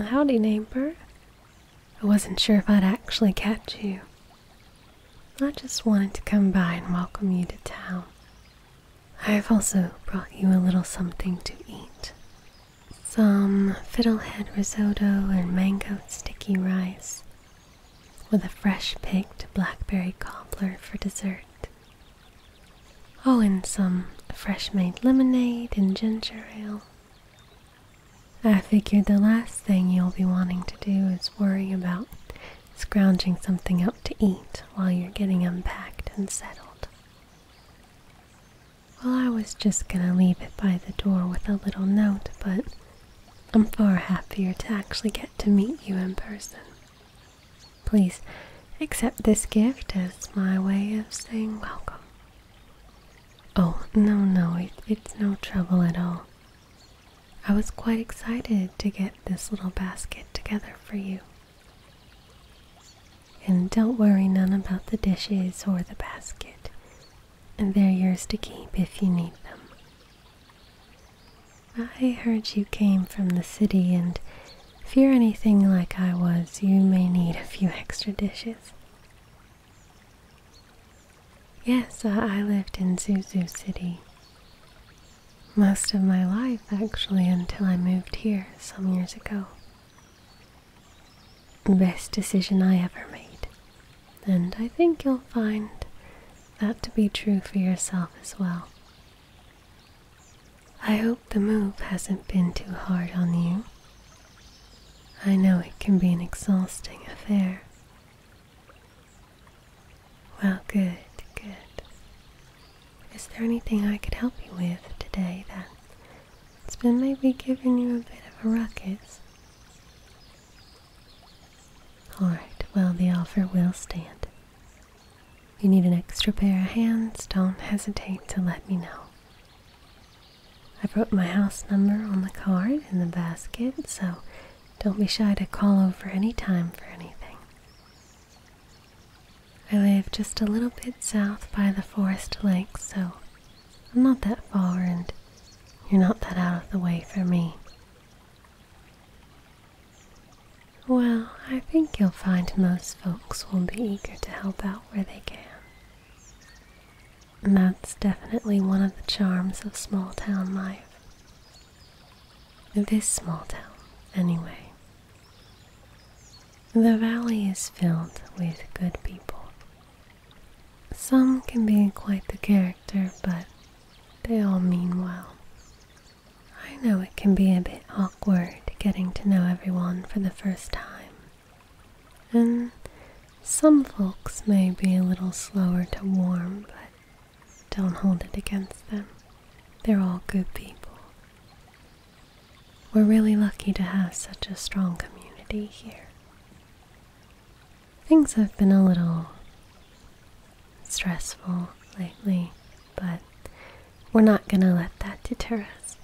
Howdy, neighbor. I wasn't sure if I'd actually catch you. I just wanted to come by and welcome you to town. I've also brought you a little something to eat. Some fiddlehead risotto and mango sticky rice with a fresh picked blackberry cobbler for dessert. Oh, and some fresh made lemonade and ginger ale. I figured the last thing you'll be wanting to do is worry about scrounging something up to eat while you're getting unpacked and settled. Well, I was just gonna leave it by the door with a little note, but I'm far happier to actually get to meet you in person. Please accept this gift as my way of saying welcome. Oh, no, no, it's no trouble at all. I was quite excited to get this little basket together for you. And don't worry none about the dishes or the basket. And they're yours to keep if you need them. I heard you came from the city, and if you're anything like I was, you may need a few extra dishes. Yes, I lived in Zuzu City. Most of my life, actually, until I moved here some years ago. Best decision I ever made. And I think you'll find that to be true for yourself as well. I hope the move hasn't been too hard on you. I know it can be an exhausting affair. Well, good, good. Is there anything I could help you with today that it's been maybe giving you a bit of a ruckus? Alright, well, the offer will stand. you need an extra pair of hands, don't hesitate to let me know. I wrote my house number on the card in the basket, so don't be shy to call over any time for anything. I live just a little bit south by the forest lake, so I'm not that far, and you're not that out of the way for me. Well, I think you'll find most folks will be eager to help out where they can. And that's definitely one of the charms of small town life. This small town, anyway. The valley is filled with good people some can be quite the character, but they all mean well. I know it can be a bit awkward getting to know everyone for the first time, and some folks may be a little slower to warm, but don't hold it against them. They're all good people. We're really lucky to have such a strong community here. Things have been a little stressful lately, but we're not going to let that deter us.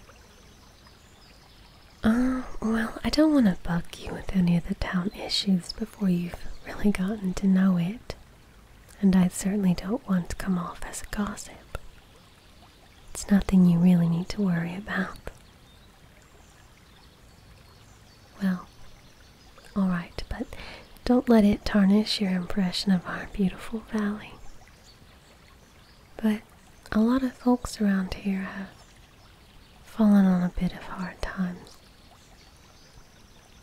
Oh, well, I don't want to bug you with any of the town issues before you've really gotten to know it, and I certainly don't want to come off as a gossip. It's nothing you really need to worry about. Well, alright, but don't let it tarnish your impression of our beautiful valley. But a lot of folks around here have fallen on a bit of hard times.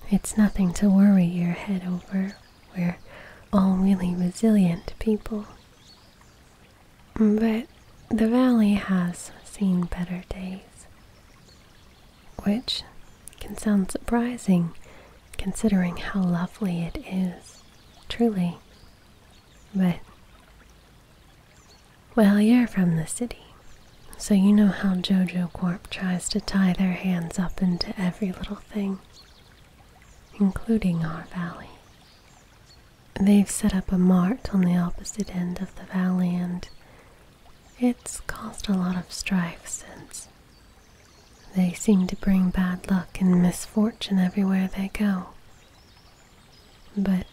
It's nothing to worry your head over. We're all really resilient people. But the valley has seen better days, which can sound surprising considering how lovely it is, truly. But, well, you're from the city, so you know how JoJo Corp tries to tie their hands up into every little thing, including our valley. They've set up a mart on the opposite end of the valley, and it's caused a lot of strife since. They seem to bring bad luck and misfortune everywhere they go. But,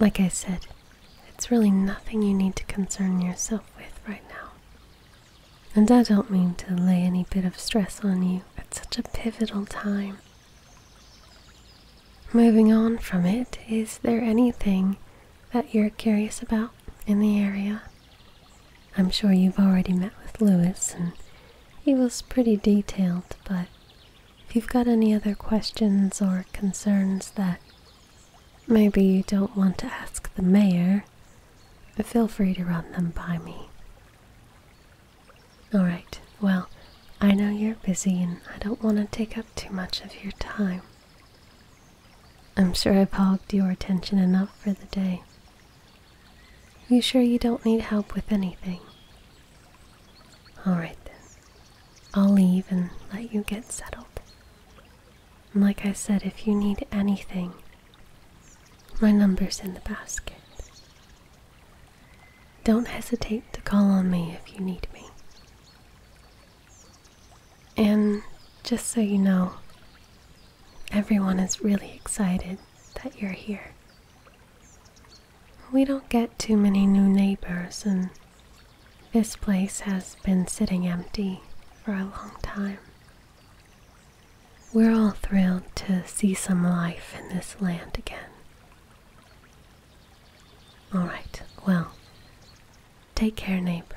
like I said, it's really nothing you need to concern yourself with right now. And I don't mean to lay any bit of stress on you at such a pivotal time. Moving on from it, is there anything that you're curious about in the area? I'm sure you've already met with Lewis and he was pretty detailed, but if you've got any other questions or concerns that maybe you don't want to ask the mayor, feel free to run them by me. All right, well, I know you're busy and I don't want to take up too much of your time. I'm sure I've hogged your attention enough for the day. You sure you don't need help with anything? All right then, I'll leave and let you get settled. And like I said, if you need anything, my number's in the basket. Don't hesitate to call on me if you need me. And just so you know, everyone is really excited that you're here. We don't get too many new neighbors, and this place has been sitting empty for a long time. We're all thrilled to see some life in this land again. All right, well, take care, neighbor.